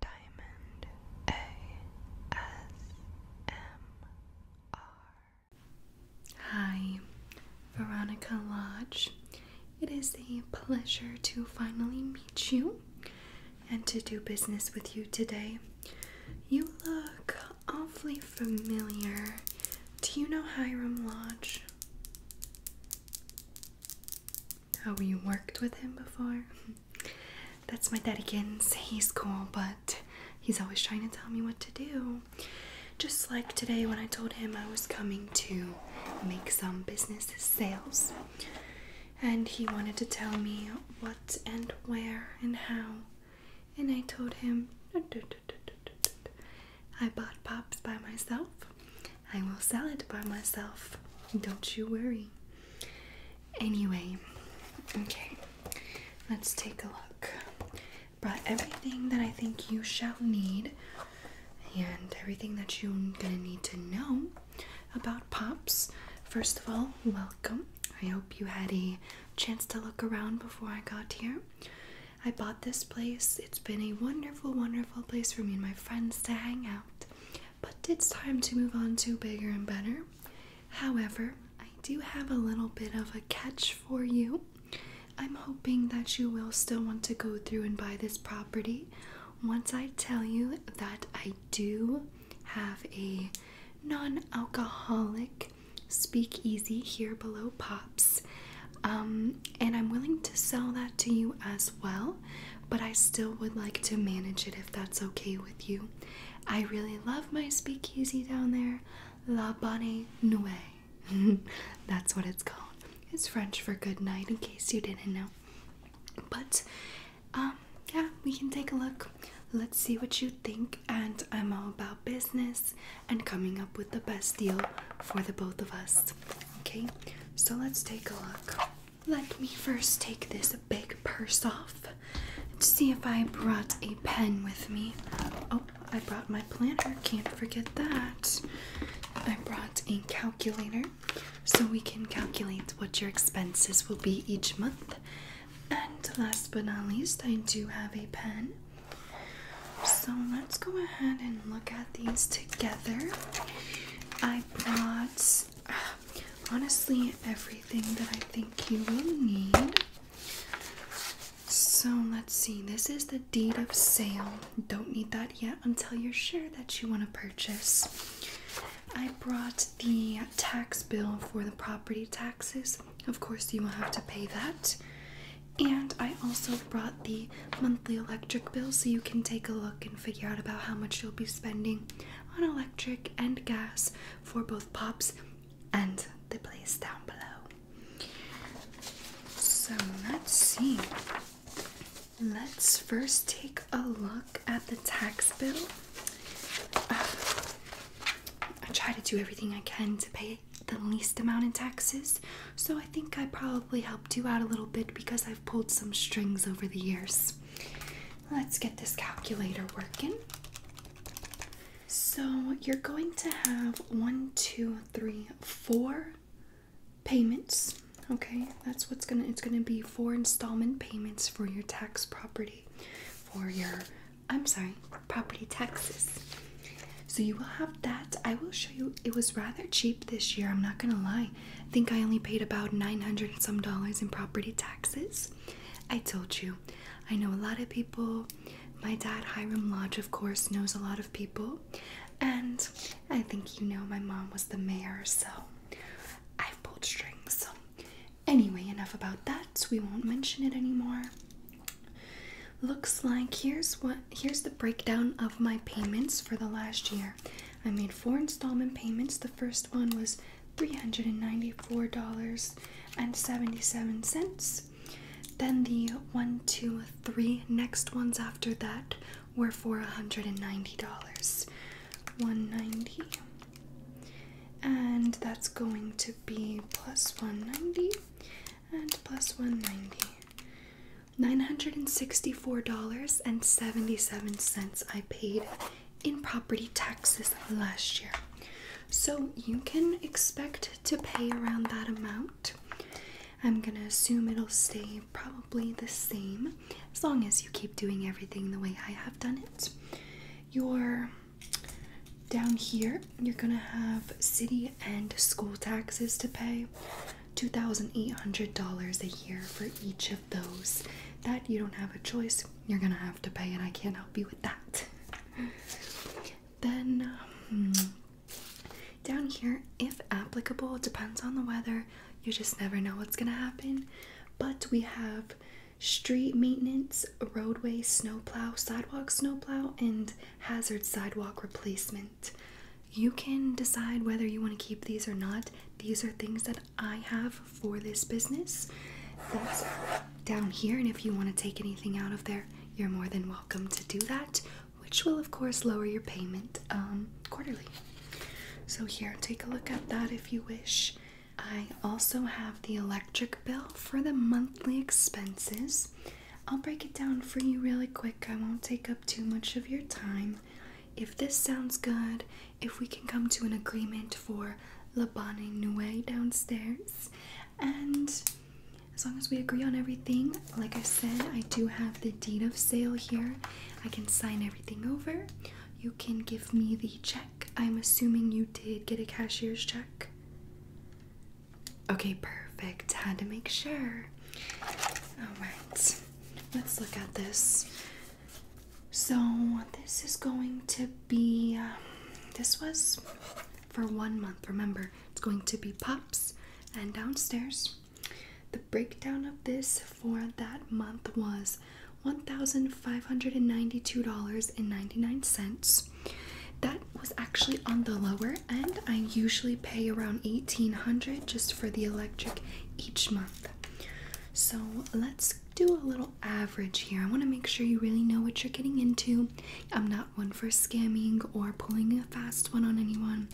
Diamond ASMR. Hi, Veronica Lodge. It is a pleasure to finally meet you and to do business with you today. You look awfully familiar. Do you know Hiram Lodge? how you worked with him before. That's my Dedekins. He's cool, but he's always trying to tell me what to do. Just like today when I told him I was coming to make some business sales. And he wanted to tell me what and where and how. And I told him I bought pops by myself I will sell it by myself. Don't you worry. Anyway, okay, let's take a look. Brought everything that I think you shall need and everything that you're gonna need to know about Pops. First of all, welcome. I hope you had a chance to look around before I got here. I bought this place. It's been a wonderful, wonderful place for me and my friends to hang out but it's time to move on to bigger and better. However, I do have a little bit of a catch for you. I'm hoping that you will still want to go through and buy this property once I tell you that I do have a non alcoholic speakeasy here below Pops. Um, and I'm willing to sell that to you as well, but I still would like to manage it if that's okay with you. I really love my speakeasy down there, La Bonne Nuit. that's what it's called. It's French for good night, in case you didn't know. But, um, yeah, we can take a look. Let's see what you think, and I'm all about business and coming up with the best deal for the both of us. Okay, so let's take a look. Let me first take this big purse off to see if I brought a pen with me. Oh, I brought my planner. Can't forget that. I brought a calculator so we can calculate what your expenses will be each month. And last but not least, I do have a pen. So let's go ahead and look at these together. I brought honestly everything that I think you will need. So let's see, this is the deed of sale. Don't need that yet until you're sure that you want to purchase. I brought the tax bill for the property taxes. Of course, you will have to pay that. And I also brought the monthly electric bill so you can take a look and figure out about how much you'll be spending on electric and gas for both Pops and the place down below. So let's see. Let's first take a look at the tax bill. I try to do everything I can to pay the least amount in taxes, so I think I probably probably helped you out a little bit because I've pulled some strings over the years. Let's get this calculator working. So, you're going to have one, two, three, four payments. Okay, that's what's gonna it's gonna be four installment payments for your tax property, for your I'm sorry, property taxes. So you will have that. I will show you it was rather cheap this year, I'm not gonna lie. I think I only paid about 900 and some dollars in property taxes. I told you, I know a lot of people. My dad, Hiram Lodge, of course, knows a lot of people. And I think you know my mom was the mayor, so I've pulled strings. So, anyway, enough about that. We won't mention it anymore. Looks like here's what here's the breakdown of my payments for the last year. I made four installment payments. The first one was $394.77. Then the one, two, three next ones after that were for $190. 190 and that's going to be plus 190 and plus 190 $964.77 I paid in property taxes last year. So you can expect to pay around that amount. I'm going to assume it'll stay probably the same as long as you keep doing everything the way I have done it. You're down here, you're going to have city and school taxes to pay. $2,800 a year for each of those. That you don't have a choice, you're gonna have to pay, and I can't help you with that. then, hmm, down here, if applicable, depends on the weather, you just never know what's gonna happen. But we have street maintenance, roadway snowplow, sidewalk snowplow, and hazard sidewalk replacement you can decide whether you want to keep these or not. These are things that I have for this business. That's down here, and if you want to take anything out of there, you're more than welcome to do that, which will, of course, lower your payment um, quarterly. So, here, take a look at that if you wish. I also have the electric bill for the monthly expenses. I'll break it down for you really quick. I won't take up too much of your time. If this sounds good, if we can come to an agreement for La Bonne Noue downstairs, and as long as we agree on everything, like I said, I do have the deed of sale here. I can sign everything over. You can give me the check. I'm assuming you did get a cashier's check. Okay, perfect. Had to make sure. Alright, let's look at this. So, this is going to be. Uh, this was for one month. Remember, it's going to be pops and downstairs. The breakdown of this for that month was $1,592.99. That was actually on the lower our I usually pay around 1800 just for the electric each month. So let's do a little average here. I want to make sure you really know what you're getting into. I'm not one for scamming or pulling a fast one on anyone.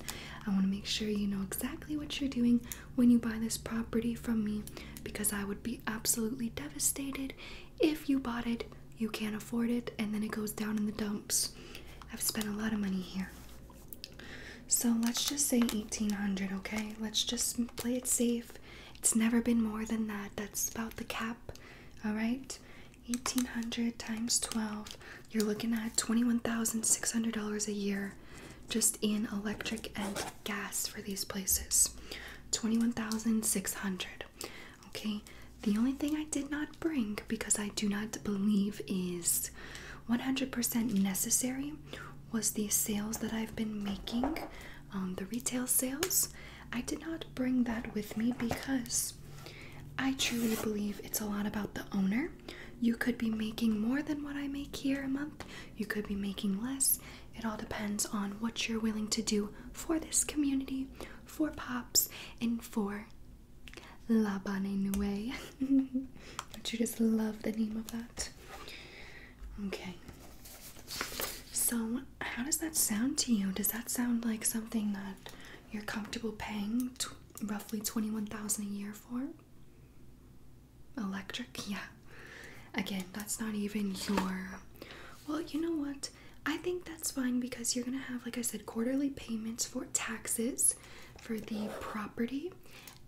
I want to make sure you know exactly what you're doing when you buy this property from me because I would be absolutely devastated if you bought it you can't afford it and then it goes down in the dumps. I've spent a lot of money here. So let's just say 1800, okay? Let's just play it safe. It's never been more than that. That's about the cap. All right? 1800 times 12, you're looking at $21,600 a year just in electric and gas for these places. 21,600. Okay, the only thing I did not bring because I do not believe is 100% necessary was the sales that I've been making, um, the retail sales. I did not bring that with me because I truly believe it's a lot about the owner. You could be making more than what I make here a month, you could be making less. It all depends on what you're willing to do for this community, for Pops, and for La Bonne nouvelle. Don't you just love the name of that? Okay. So, how does that sound to you? Does that sound like something that you're comfortable paying t roughly 21,000 a year for? Electric? Yeah. Again, that's not even your Well, you know what? I think that's fine because you're going to have, like I said, quarterly payments for taxes for the property.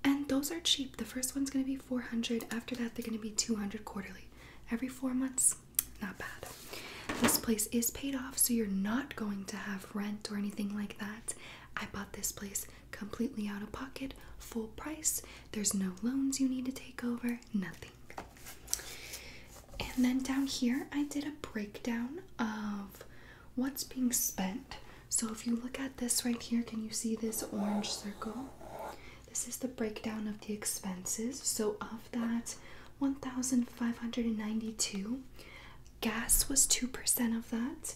And those are cheap. The first one's going to be 400. After that, they're going to be 200 quarterly. Every four months, not bad. This place is paid off, so you're not going to have rent or anything like that. I bought this place completely out of pocket, full price. There's no loans you need to take over, nothing. And then down here, I did a breakdown of what's being spent. So if you look at this right here, can you see this orange circle? This is the breakdown of the expenses. So of that 1,592, gas was 2% of that,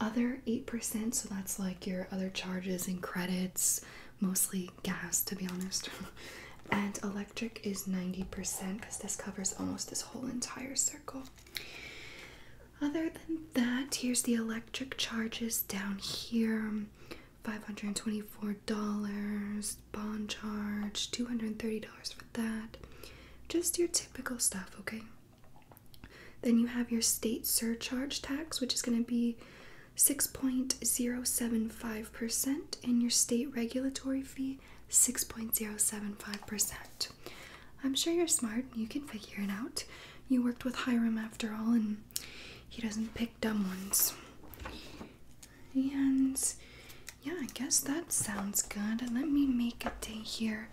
other 8%, so that's like your other charges and credits, mostly gas to be honest. and electric is 90% because this covers almost this whole entire circle. Other than that, here's the electric charges down here $524, bond charge, $230 for that. Just your typical stuff, okay? Then you have your state surcharge tax, which is going to be 6.075 6.05%, and your state regulatory fee 6.075%. I'm sure you're smart, you can figure it out. You worked with Hiram after all, and he doesn't pick dumb ones. And yeah, I guess that sounds good. Let me make a day here.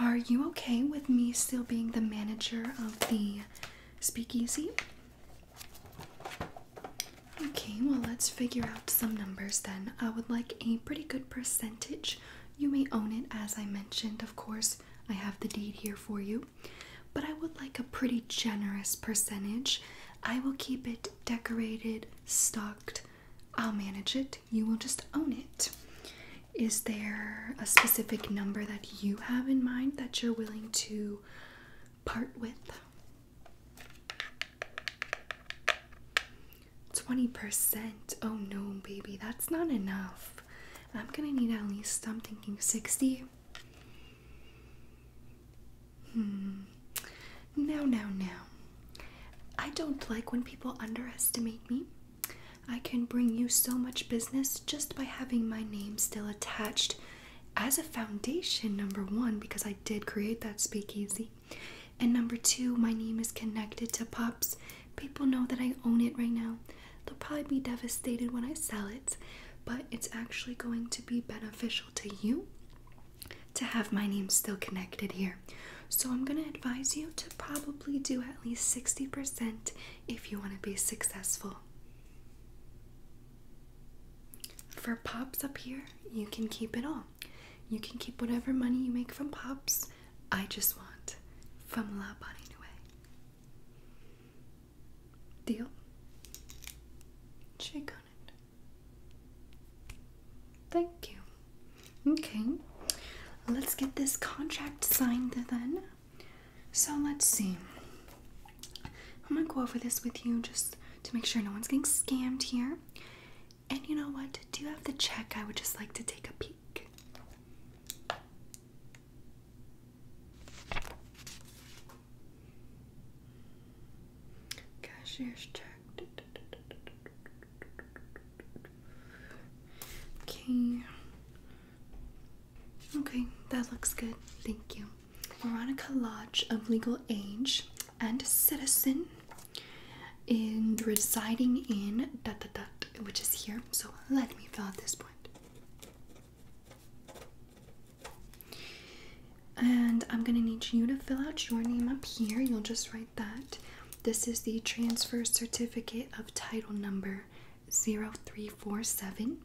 Are you okay with me still being the manager of the speakeasy? Okay, well, let's figure out some numbers then. I would like a pretty good percentage. You may own it, as I mentioned, of course. I have the deed here for you. But I would like a pretty generous percentage. I will keep it decorated, stocked. I'll manage it. You will just own it. Is there a specific number that you have in mind that you're willing to part with? 20%. Oh no, baby, that's not enough. I'm gonna need at least, I'm thinking 60. Hmm. Now, now, now. I don't like when people underestimate me. I can bring you so much business just by having my name still attached as a foundation, number one, because I did create that speakeasy, and number two, my name is connected to Pops. People know that I own it right now. They'll probably be devastated when I sell it, but it's actually going to be beneficial to you to have my name still connected here. So I'm going to advise you to probably do at least 60% if you want to be successful. For pops up here, you can keep it all. You can keep whatever money you make from pops. I just want from La Bonnie Nue. Deal? Shake on it. Thank you. Okay, let's get this contract signed then. So let's see. I'm gonna go over this with you just to make sure no one's getting scammed here. And you know what? Do you have the check? I would just like to take a peek. Cashier's check. Okay. Okay, that looks good. Thank you. Veronica Lodge of legal age and citizen and residing in which is here. So let me fill out this point. And I'm gonna need you to fill out your name up here. You'll just write that. This is the transfer certificate of title number 0347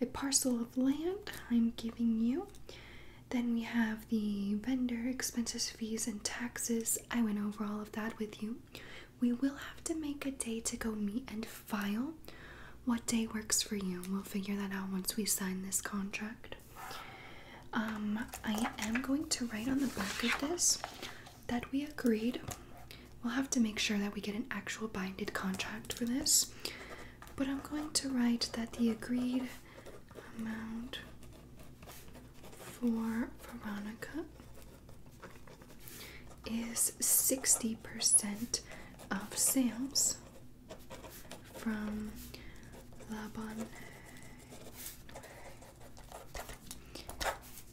a parcel of land I'm giving you. Then we have the vendor expenses, fees, and taxes. I went over all of that with you. We will have to make a day to go meet and file. What day works for you? We'll figure that out once we sign this contract. Um, I am going to write on the back of this that we agreed We'll have to make sure that we get an actual binded contract for this, but I'm going to write that the agreed amount for Veronica is 60% of sales from Laban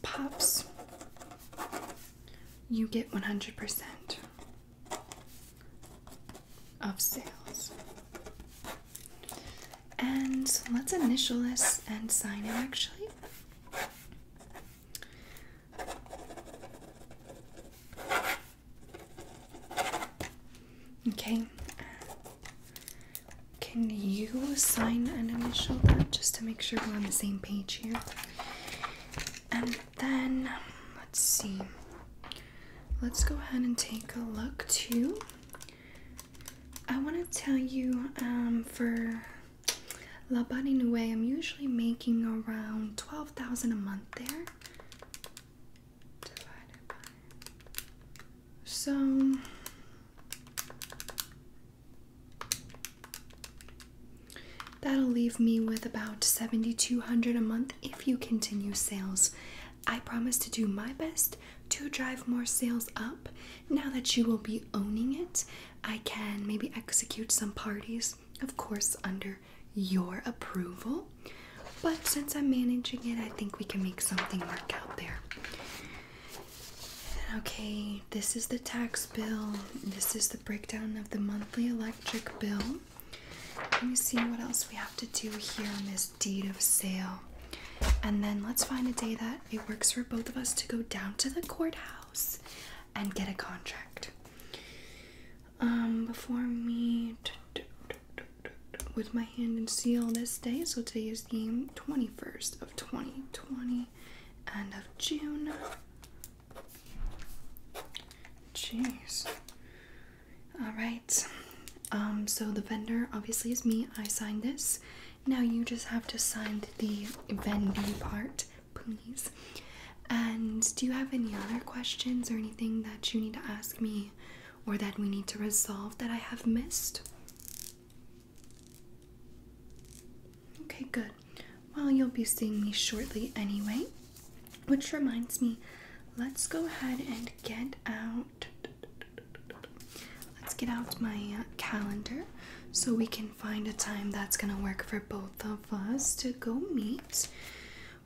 Pops. You get 100% of sales. And let's initial this and sign it actually. Okay. Can you sign an initial that just to make sure we're on the same page here? Then let's see. Let's go ahead and take a look too. I want to tell you um, for La Body Noue, I'm usually making around 12,000 a month there. So That'll leave me with about 7200 a month if you continue sales. I promise to do my best to drive more sales up. Now that you will be owning it, I can maybe execute some parties, of course, under your approval. But since I'm managing it, I think we can make something work out there. Okay, this is the tax bill. This is the breakdown of the monthly electric bill. Let me see what else we have to do here on this deed of sale. And then let's find a day that it works for both of us to go down to the courthouse and get a contract. Um, before me, with my hand and seal this day, so today is the 21st of 2020 end of June. Jeez. All right. Um, so the vendor obviously is me. I signed this. Now you just have to sign the vendee part, please. And do you have any other questions or anything that you need to ask me or that we need to resolve that I have missed? Okay, good. Well, you'll be seeing me shortly anyway, which reminds me, let's go ahead and get out. Let's get out my uh, calendar so we can find a time that's gonna work for both of us to go meet.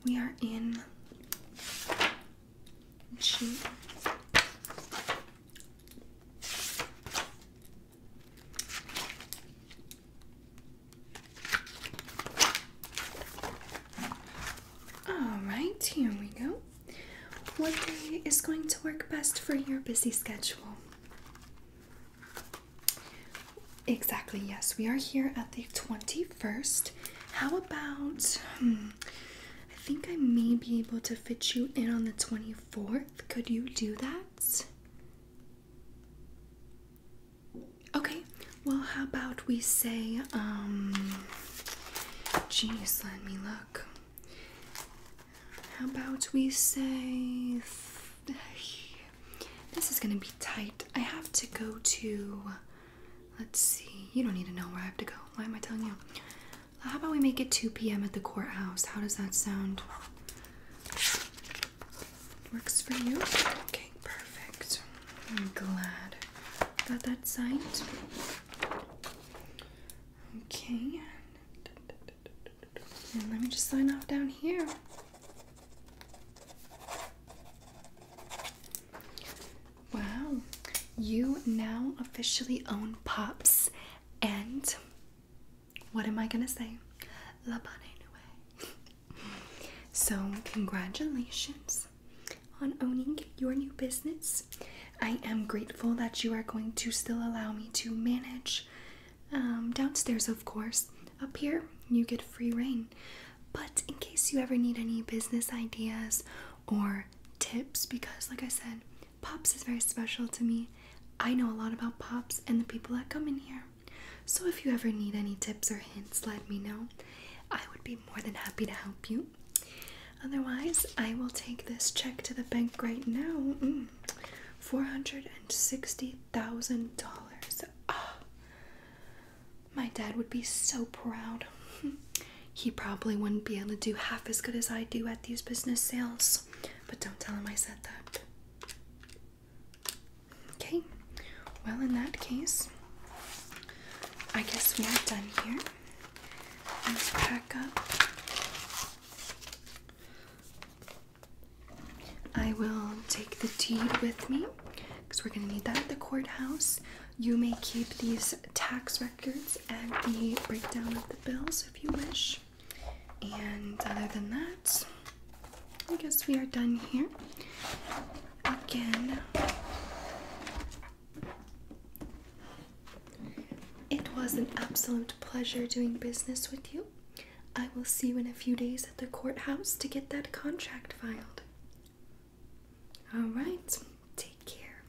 We are in all right, here we go. What day is going to work best for your busy schedule? Exactly, yes. We are here at the 21st. How about, hmm, I think I may be able to fit you in on the 24th. Could you do that? Okay, well, how about we say, um, jeez, let me look. How about we say, this is gonna be tight. I have to go to, let's see, you don't need to know where I have to go. Why am I telling you? How about we make it 2 p.m. at the courthouse? How does that sound? Works for you? Okay, perfect. I'm glad about that signed. Okay. And let me just sign off down here. Wow, you now officially own Pops and what am I gonna say? La bonne So, congratulations on owning your new business. I am grateful that you are going to still allow me to manage um, downstairs, of course. Up here, you get free reign. But in case you ever need any business ideas or tips, because like I said, Pops is very special to me. I know a lot about Pops and the people that come in here. So if you ever need any tips or hints, let me know. I would be more than happy to help you. Otherwise, I will take this check to the bank right now. Mm. $460,000. Ah. my dad would be so proud. he probably wouldn't be able to do half as good as I do at these business sales but don't tell him I said that. Okay, well, in that case, I guess we are done here. Let's pack up. I will take the deed with me because we're going to need that at the courthouse. You may keep these tax records and the breakdown of the bills if you wish. And other than that, I guess we are done here. Again, it was an absolute pleasure doing business with you. I will see you in a few days at the courthouse to get that contract filed. All right, take care.